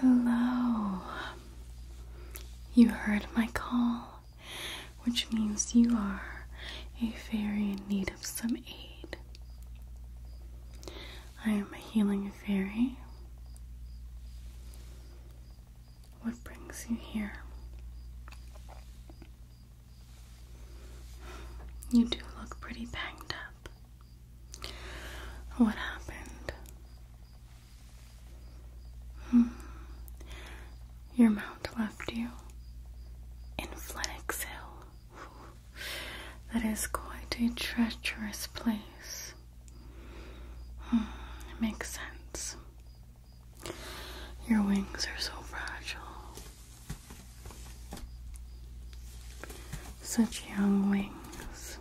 Hello. You heard my call, which means you are a fairy in need of some aid. I am a healing fairy. What brings you here? You do look pretty banged up. What happened? Hmm. Your mount left you in Flenox Hill. That is quite a treacherous place. Hmm. makes sense. Your wings are so fragile. Such young wings.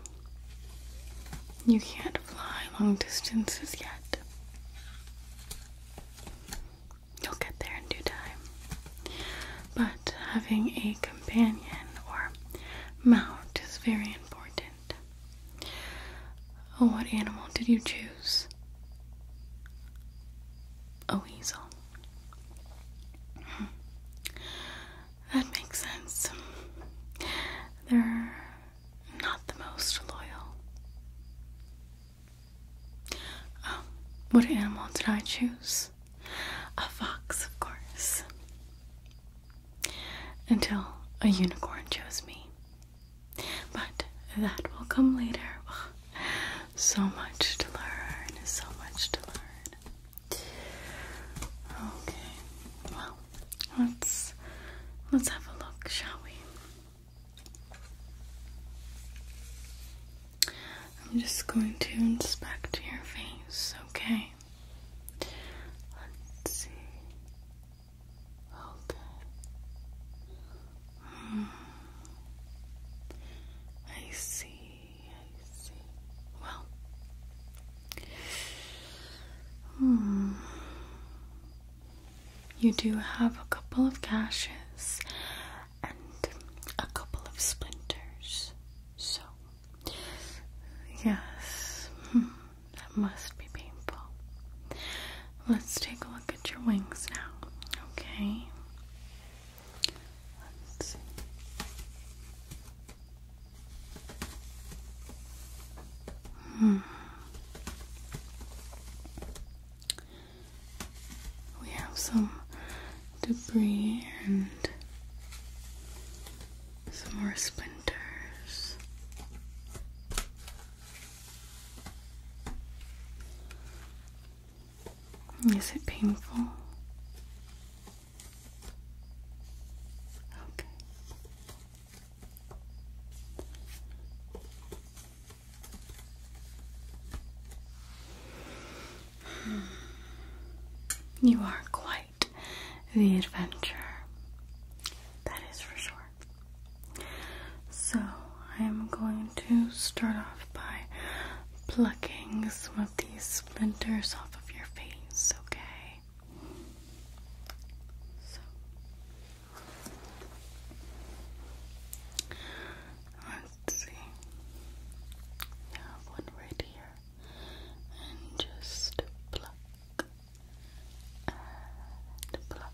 You can't fly long distances yet. You'll get there in due time. But having a companion or mount is very important. Oh, what animal did you choose? A weasel. That makes sense. They're not the most loyal. Oh, what animal did I choose? A fox, of course. Until a unicorn chose me. But that will come later. So much to learn, so much to learn. Okay, well, let's let's have a look, shall we? I'm just going to inspect your face, okay? Let's see. Okay. I see, I see. Well, hmm. you do have a couple of gashes and a couple of splinters, so yes, hmm, that must be painful. Let's take a look at your wings now, okay? Let's see. Hmm. We have some debris and some more splinters. Is it painful? Okay. Hmm. You are quite the adventurer. That is for sure. So, I am going to start off by plucking some of these splinters off of your face, okay? let's see. I one right here. And just pluck pluck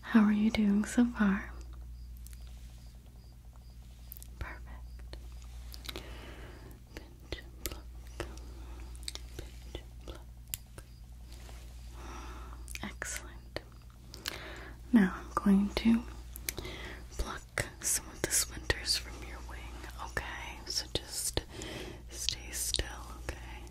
how are you doing so far? Perfect. Excellent. Now I'm going to pluck some of the splinters from your wing, okay? So just stay still, okay?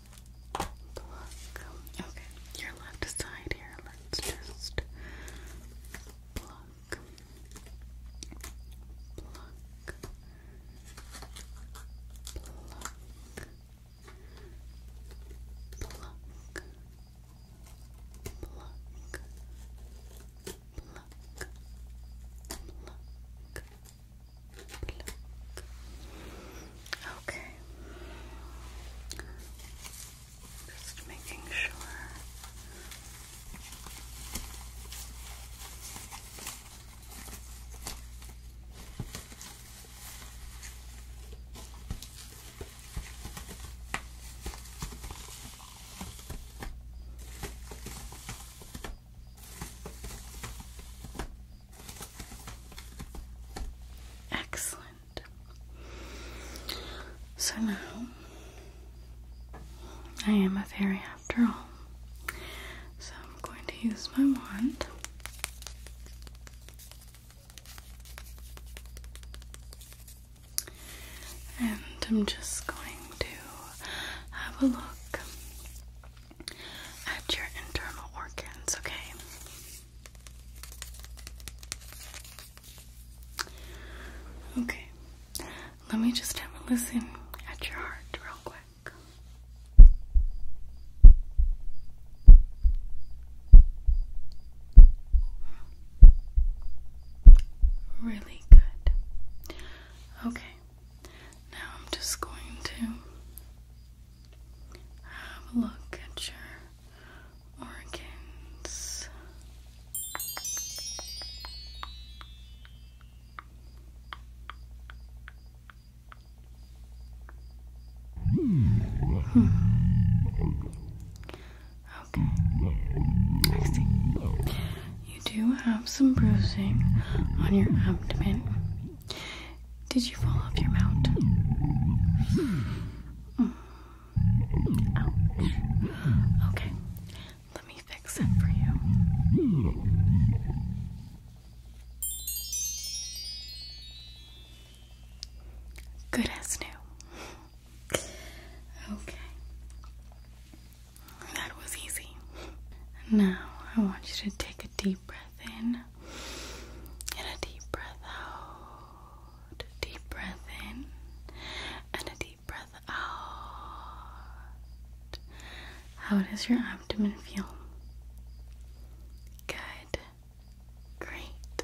pluck. Okay, your left side here. Let's just pluck, pluck, pluck, pluck. Pluck, pluck, pluck, pluck. Okay. Just making sure. Excellent. So now I am a fairy after all. So I'm going to use my wand. And I'm just going to have a look at your internal organs, okay? Okay, let me just have a listen at your heart real quick. Really good. Okay, now I'm just going to have a look at your organs. Hmm. Okay. I see. You do have some bruising on your abdomen. Did you fall off your mount? Okay, let me fix it for you. Good as new. Okay. That was easy. Now I want you to take a deep deep breath in and a deep breath out. Deep breath in and a deep breath out. How does your abdomen feel? Good. Great.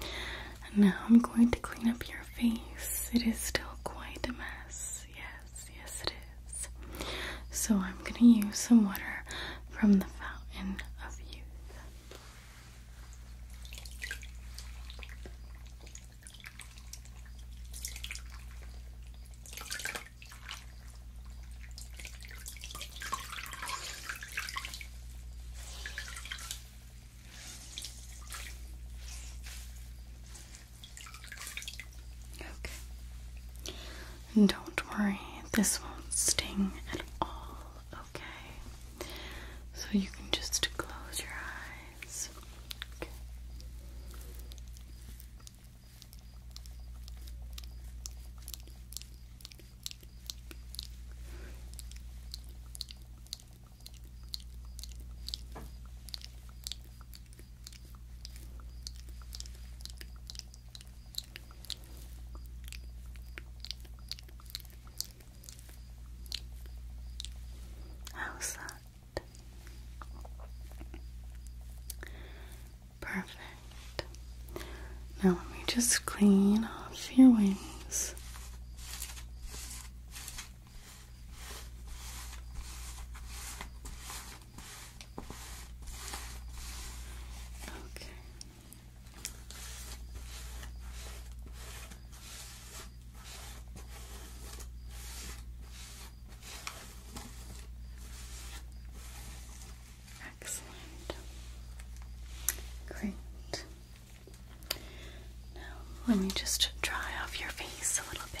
And now I'm going to clean up your face. It is still quite a mess. Yes, yes, it is. So I'm going to use some water from the fountain of youth don't worry, this won't sting at all okay? So you can just close your eyes. Okay. How's that? Perfect. Now let me just clean off your wings. Okay. Excellent. Great. Now, let me just dry off your face a little bit.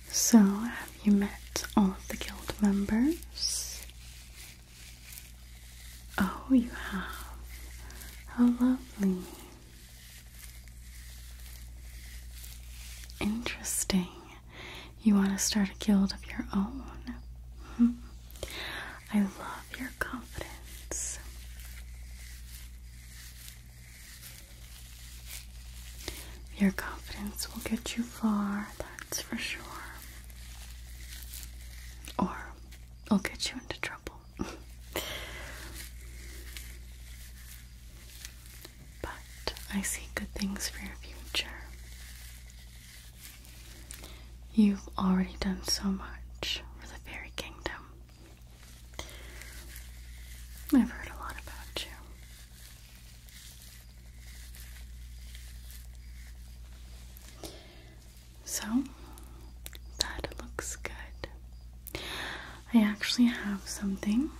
So, have you met all of the guild members? Oh, you have. How lovely. Interesting. You want to start a guild of your own. Hmm. I love your confidence. Your confidence will get you far, that's for sure. Or it'll get you into trouble. but I see good things for your future. You've already done so much for the fairy kingdom. I've heard a lot about you. So that looks good. I actually have something.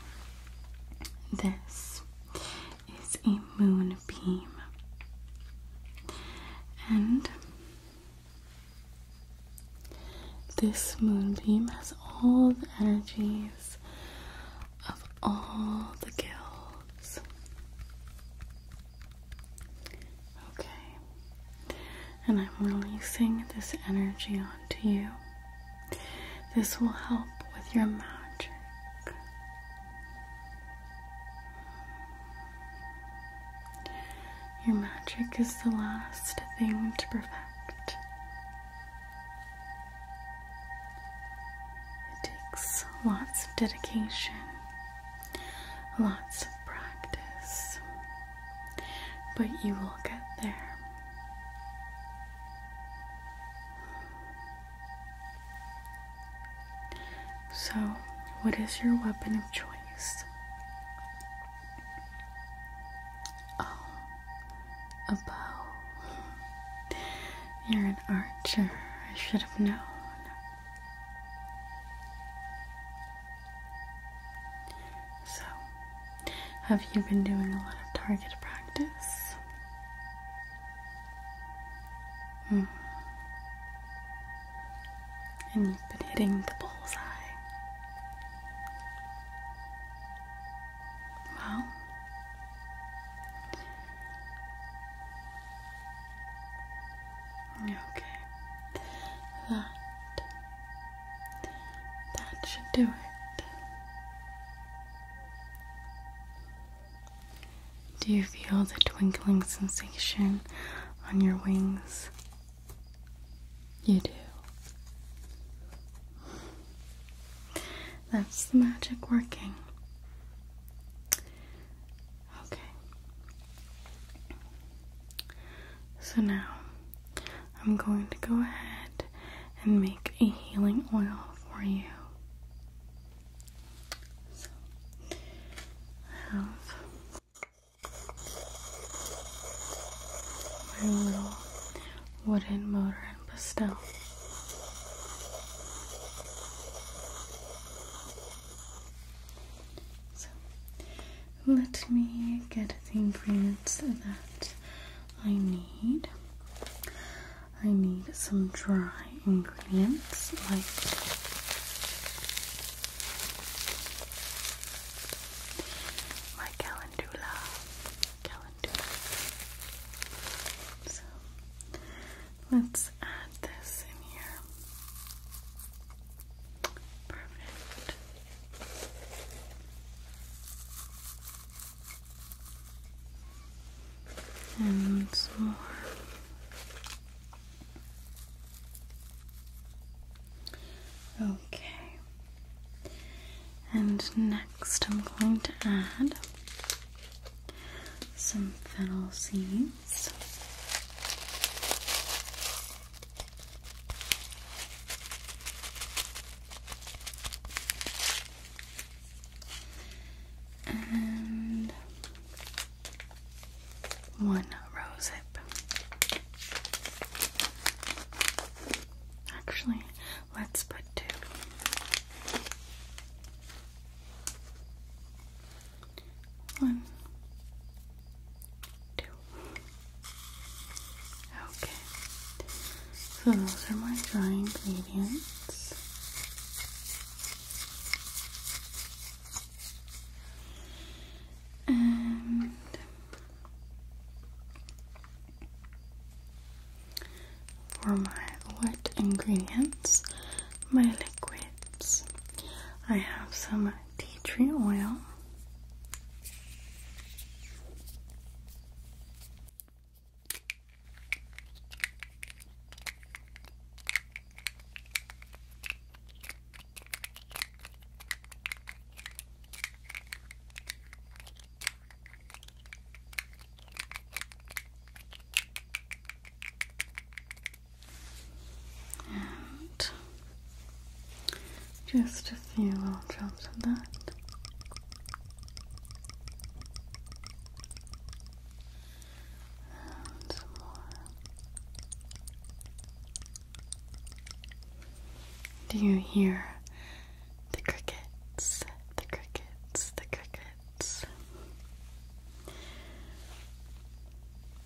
This is a moonbeam, and this moonbeam has all the energies of all the gills. Okay, and I'm releasing this energy onto you. This will help with your magic. Your magic is the last thing to perfect. It takes lots of dedication, lots of practice, but you will get there. So, what is your weapon of choice? Oh, a bow. You're an archer. I should have known. So, have you been doing a lot of target practice? Hmm. And you've been hitting the bullseye. Well, okay, that that should do it. Do you feel the twinkling sensation on your wings? You do. That's the magic working. Okay. So now I'm going to go ahead and make a healing oil for you. So I have my little wooden motor pastel. So let me get the ingredients that I need. I need some dry ingredients like my calendula, so let's add this in here. Perfect. And some more. Okay. And next, I'm going to add some fennel seeds. And one rosehip. Actually, Let's put two. Okay. So those are my dry ingredients. And for my wet ingredients, my liquids, I have some tea tree oil just a few little drops of that. And some more. Do you hear the crickets, the crickets, the crickets.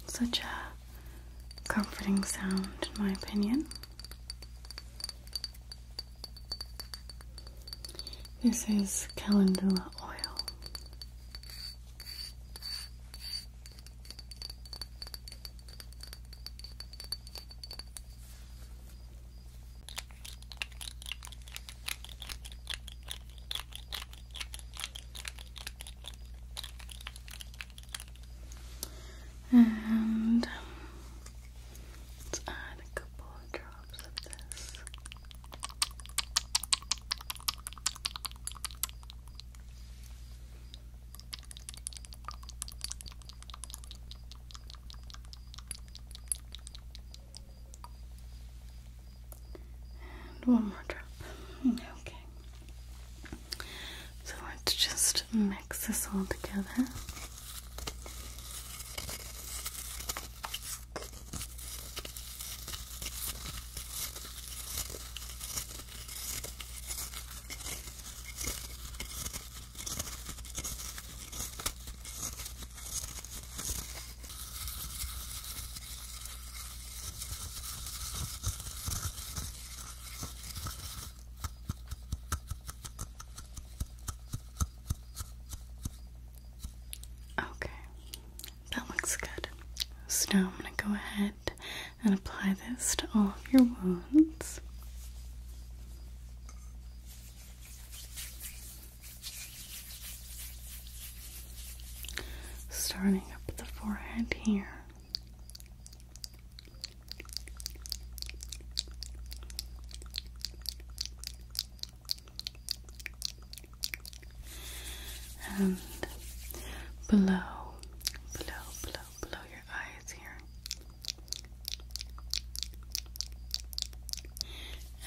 Such a comforting sound, in my opinion. This is calendula oil. And let's add a couple of drops of this. And one more drop. Okay. So let's just mix this all together. Okay, that looks good. So now I'm going to go ahead and apply this to all of your wounds. Starting up the forehead here. And below, below, below, below your eyes here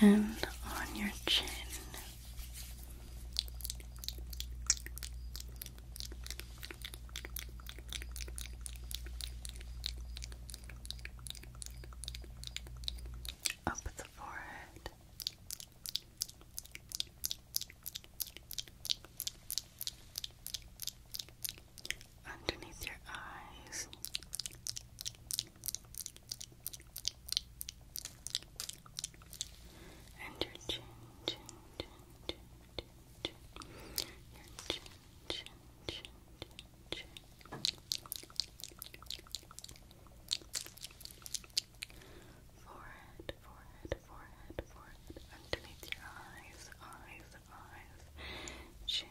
and on your chin. Up the forehead underneath your eyes. And your chin, chin, chin, chin, chin, chin. Your chin, chin, chin, chin, chin. Forehead, forehead, forehead, forehead. Underneath your eyes, eyes, eyes. Chin,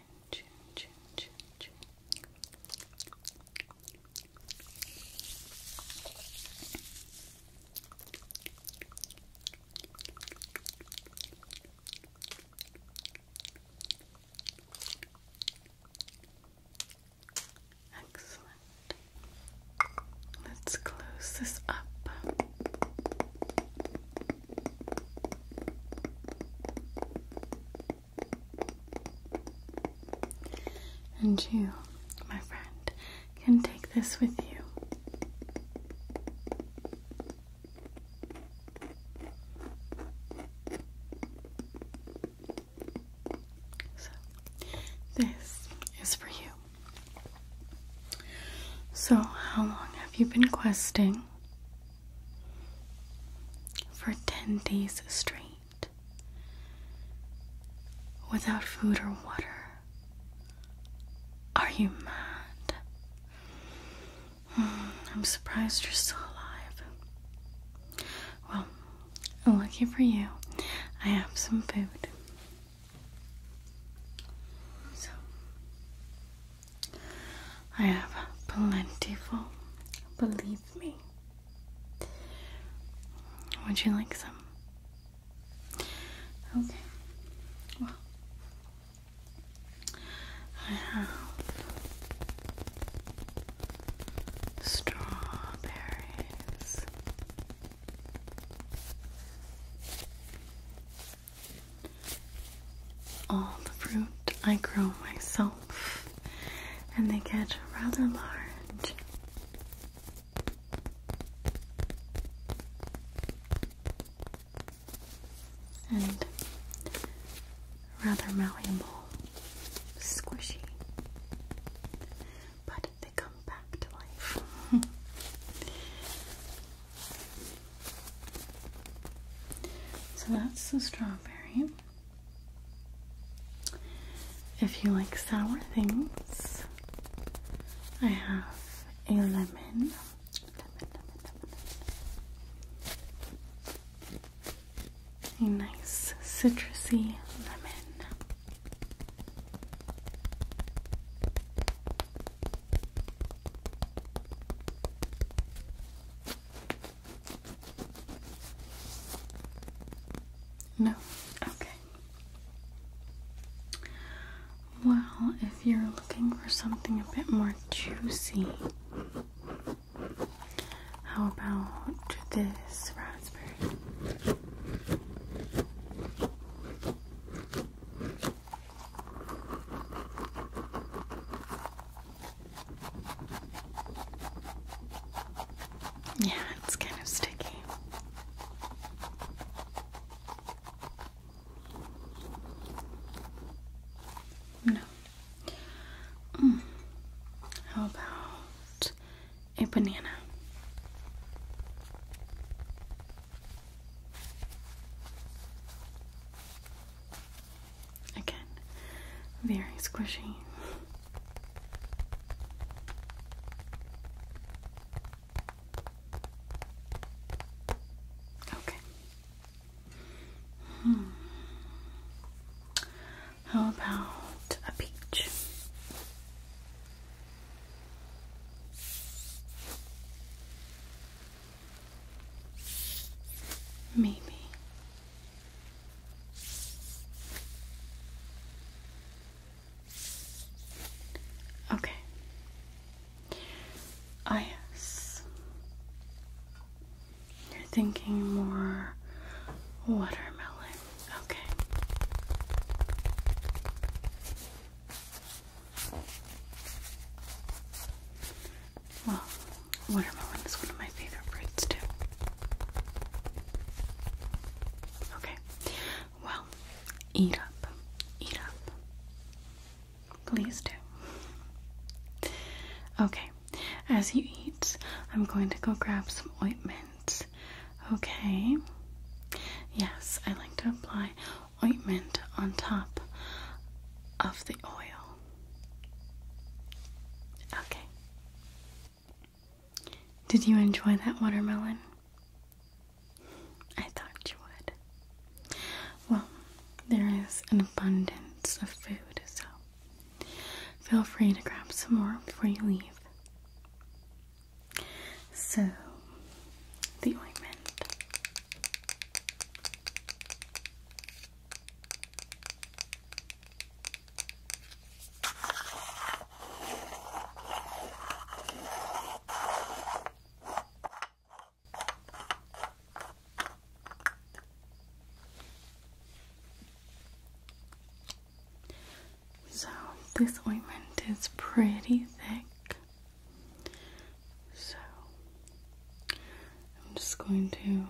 Excellent. Let's close this up. And you, my friend, can take this with you. So, this is for you. So, how long have you been questing? for 10 days straight without food or water. Are you mad? Hmm, I'm surprised you're still alive. Well, lucky for you, I have some food. So, I have plentiful, believe me. Would you like some? Okay. Well, I have strawberries all the fruit I grow myself, and they get rather large. And rather malleable, squishy, but they come back to life. so that's the strawberry. If you like sour things, I have a lemon. A nice citrusy lemon. No? Okay. Well, if you're looking for something a bit more juicy, how about this raspberry? Yeah, it's kind of sticky. No. Mm. How about a banana? Again, very squishy. Okay. Hmm. How about a peach? Maybe. Okay. Ah, yes. You're thinking more watermelon. Okay. Well, watermelon is one of my favorite fruits, too. Okay. Well, eat up. Eat up. Please do. Okay. As you eat, I'm going to go grab some ointment. Okay. Yes, I like to apply ointment on top of the oil. Okay. Did you enjoy that watermelon? I thought you would. Well, there is an abundance of food, so feel free to grab some more before you leave. So, the ointment. So, this ointment is pretty thick, so I'm just going to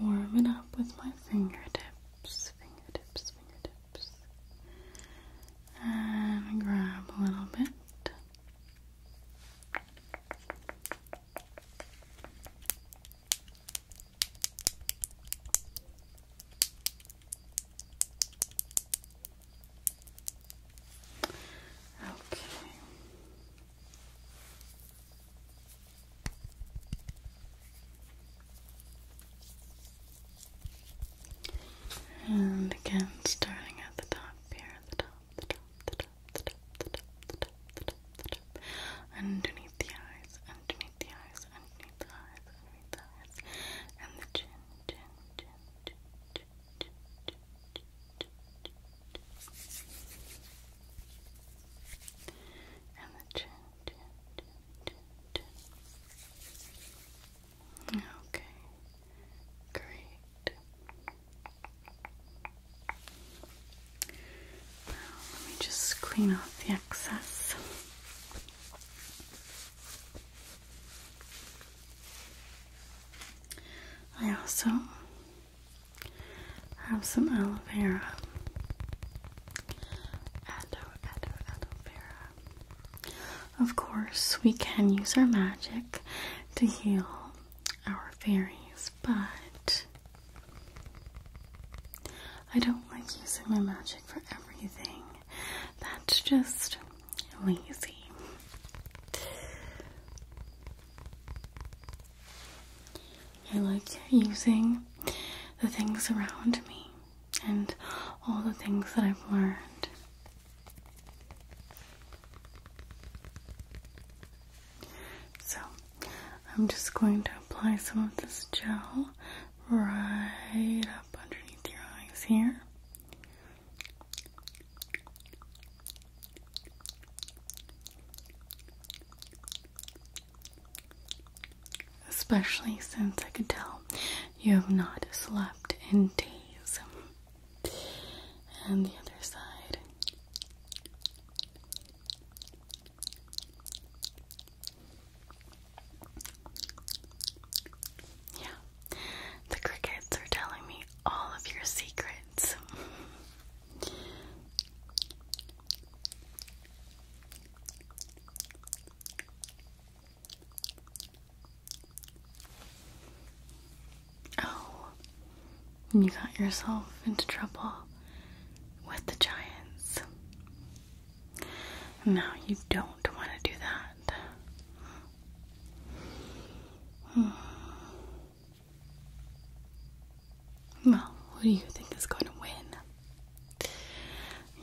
warm it up with my fingertips, fingertips, fingertips, and grab a little bit. Okay. And again, starting at the top here, the top, the top, the top, the top, the top, the top, the top, the top, underneath the eyes, underneath the eyes, underneath the eyes, underneath the eyes, and the chin, chin, chin, chin, chin, chin, chin, chin, and the chin, Okay, great. Now let me just clean off the excess. I also have some aloe vera. Aloe, aloe, aloe vera. Of course, we can use our magic to heal our fairies, but I don't like using my magic for everything. That's just lazy. I like using the things around me and all the things that I've learned. So, I'm just going to apply some of this gel right up underneath your eyes here. Especially since I could tell you have not slept in days. And the other side. Yeah, the crickets are telling me all of your secrets. Oh, and you got yourself into trouble with the giants. No, you don't want to do that. Hmm. Well, who do you think is going to win?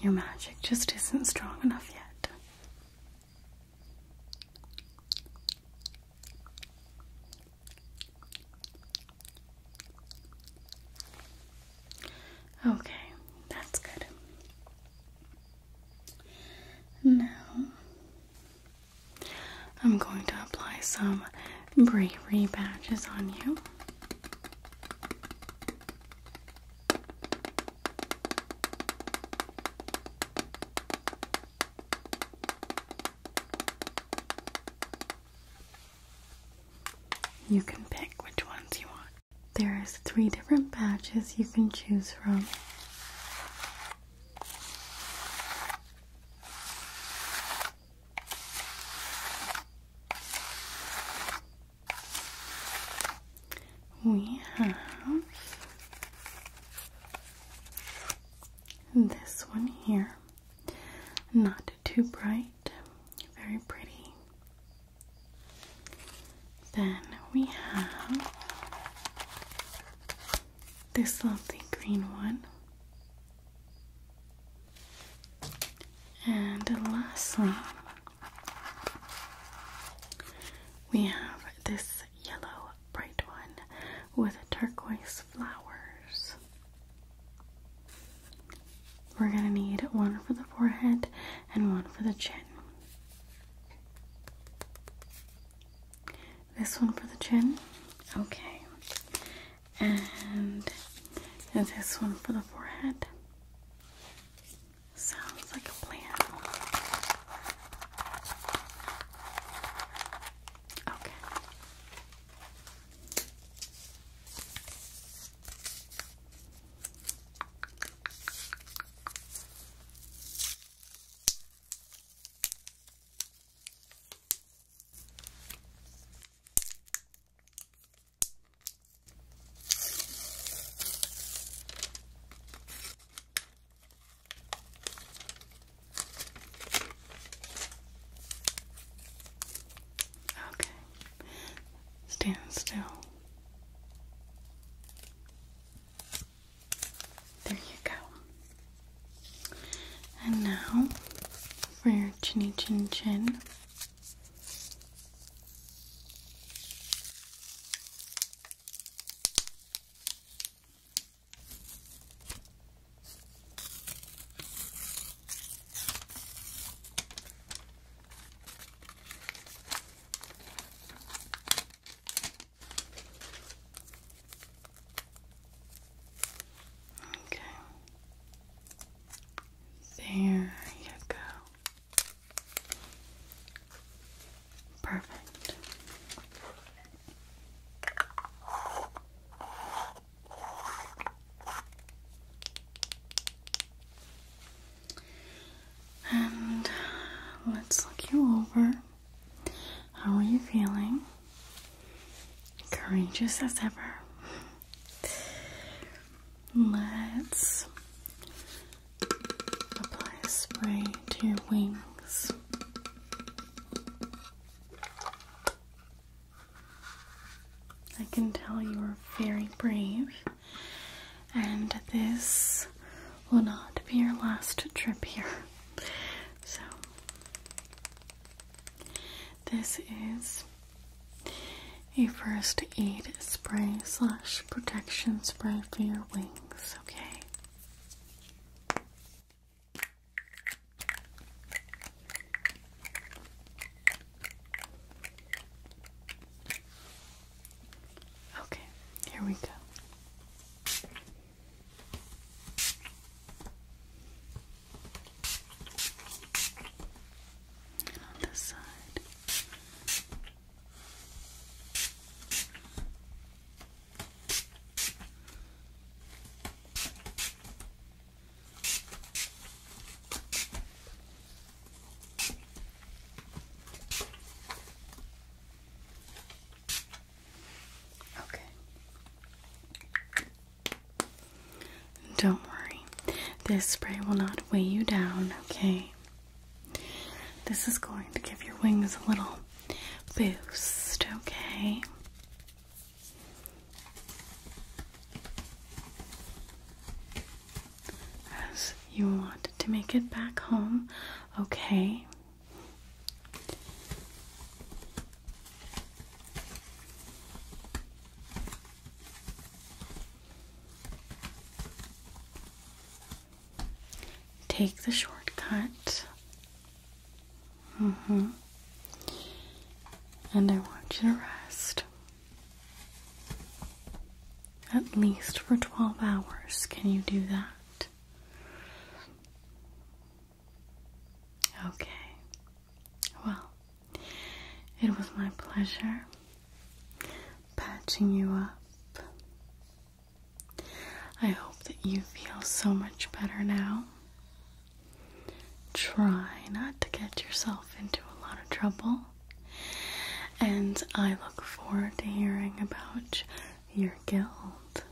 Your magic just isn't strong enough yet. Okay, that's good. Now I'm going to apply some bravery badges on you. You can pick which ones you want. There's three different badges you can choose from. We have this one here, not too bright, very pretty. Then we have this lovely green one. And lastly, we have this yellow bright one with turquoise flowers. We're going to need one for the forehead and one for the chin. This one for the chin? Okay and this one for the forehead. Sounds like a plan. Okay. Okay. Stand still. There you go. And now for your chinny chin chin. Okay. There you go. Perfect. And let's look you over. How are you feeling? courageous as ever. Let's apply spray to your wings. I can tell you are very brave, and this will not be your last trip here. So, this is a first aid spray slash protection spray for your wings, okay? Okay, here we go. And on this side. Okay. Don't worry, this spray will not weigh you down, okay? This is going to give your wings a little boost, okay? As you want to make it back home, okay? Take the shortcut. Mm hmm And I want you to rest. At least for 12 hours. Can you do that? Okay. Well, it was my pleasure patching you up. I hope that you feel so much better now. Try not to get yourself into a lot of trouble. And I look forward to hearing about your guild.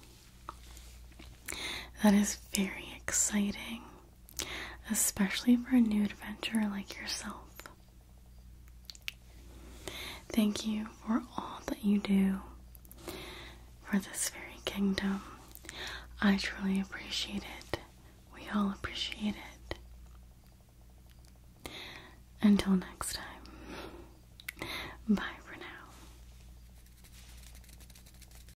That is very exciting especially for a new adventurer like yourself. Thank you for all that you do for this very kingdom. I truly appreciate it. We all appreciate it. Until next time, bye for now.